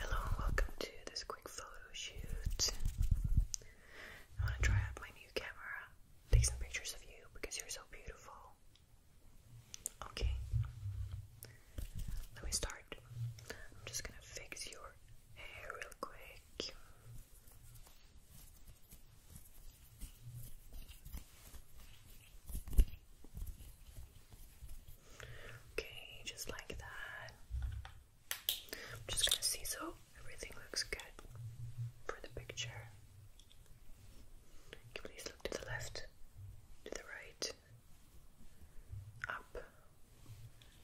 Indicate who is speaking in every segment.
Speaker 1: Hello and welcome to this quick photo shoot. I want to try out my new camera, take some pictures of you because you're so beautiful. Okay, let me start. I'm just gonna fix your hair real quick. Okay, just like that. I'm just gonna see so everything looks good for the picture. Can you please look to the left, to the right, up,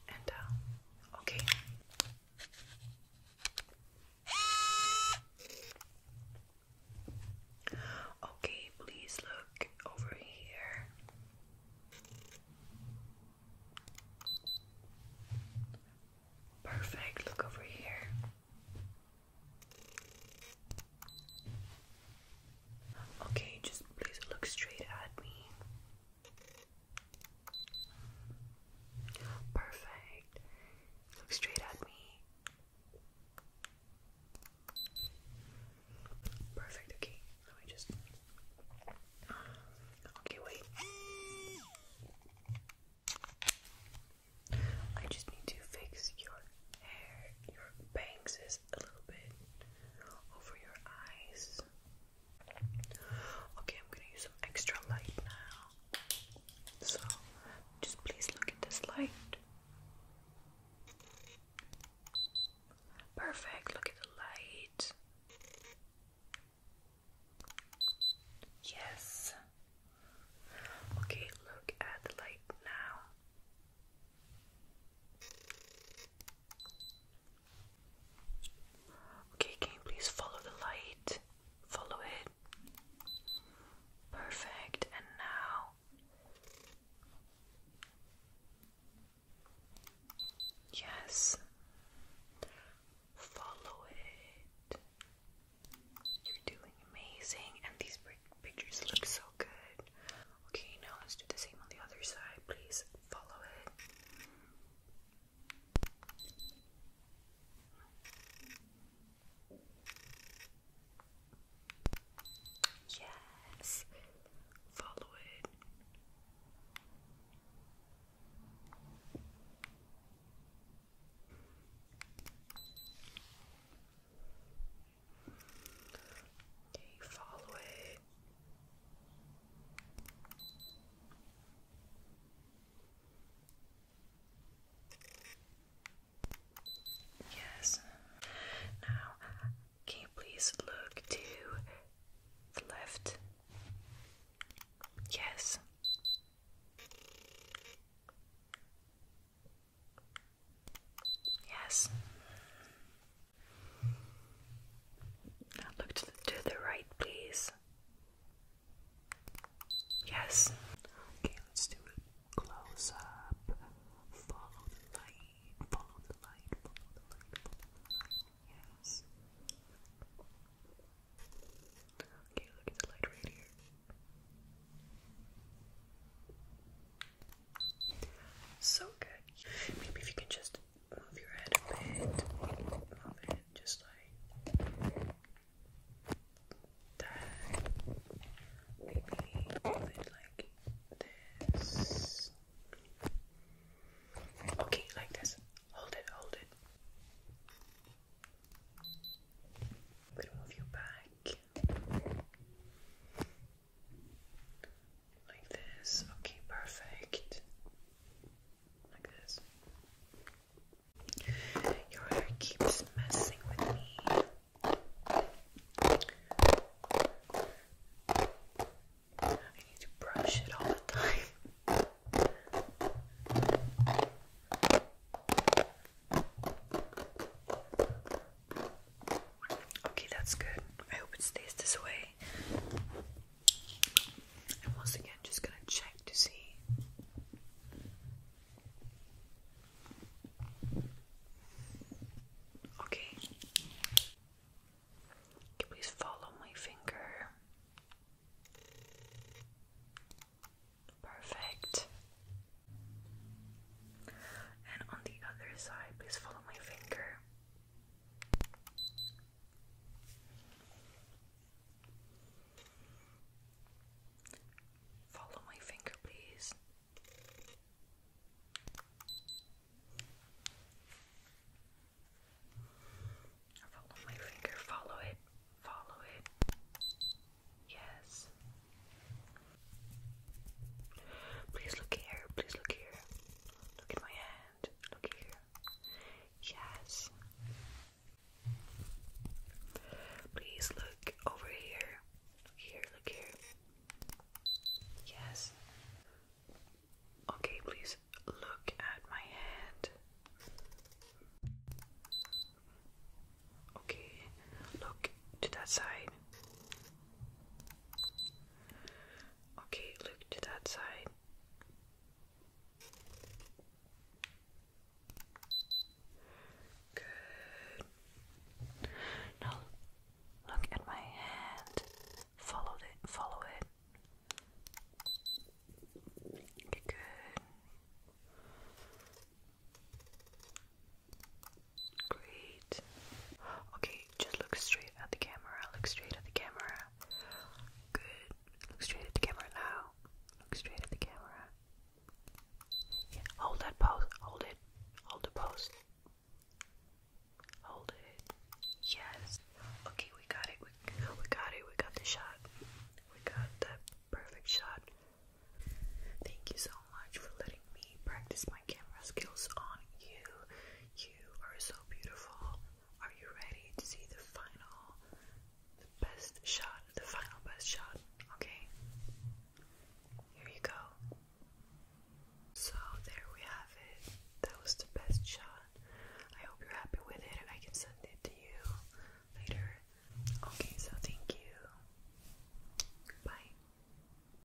Speaker 1: and down. Okay. Okay, please look over here. Perfect, look over here. Okay, just please look straight at me. Perfect. Look straight at me. Perfect, okay. Let just. Okay, wait. I just need to fix your hair. Your bangs is a little bit over your eyes. Okay, I'm gonna use some extra light now. So, just please look at this light. Perfect, look at the light. Yes. Okay, look at the light now. Okay, can please follow the light? Follow it. Perfect, and now yes, follow it. You're doing amazing, and these pictures look so good. Okay, now let's do the same on the other side. Please follow it. Yes, follow it. Okay, follow it. Yes. Now, can you please look to the left? Yes. Yes. look to the right, please. Yes. Okay, let's do a close up. Follow the light. Follow the light. Follow the light. Yes. Okay, look at the light right here. So good. Maybe if you can just move your head a bit. Move it just like Okay, like this. Hold it, hold it. We'll move you back. Like this. Okay, perfect. Like this. Your hair keeps messing with me. I need to brush it all the time. Okay, that's good. I hope it stays this way. And once again, just gonna check to see. Okay. Can please follow my finger? Perfect. And on the other side, please follow my finger. Follow my finger, please. Follow my finger, follow it, follow it. Yes. Please look here, please look here. Look at my hand look here. Yes. Please look over here. here, look here. Yes. Okay, please look at my hand. Okay, look to that side. Okay, look to that side. Good. Now look at my hand. Follow it. Follow it. Good. Great. Okay, just look straight at the camera. Look straight at the camera. Good. Look straight at the camera now. Look straight at the camera. hold that pose. Hold it. Hold the pose. Hold it. Yes. Okay, we got it. We, got it. We got the shot. We got that perfect shot. Thank you so much for letting me practice my camera skills on you. You are so beautiful. Are you ready to see the final, the best shot, the final best shot? Okay, here you go. So, there we have it. That was the best shot. I hope you're happy with it, I can send it to you later. Okay, so thank you. Bye.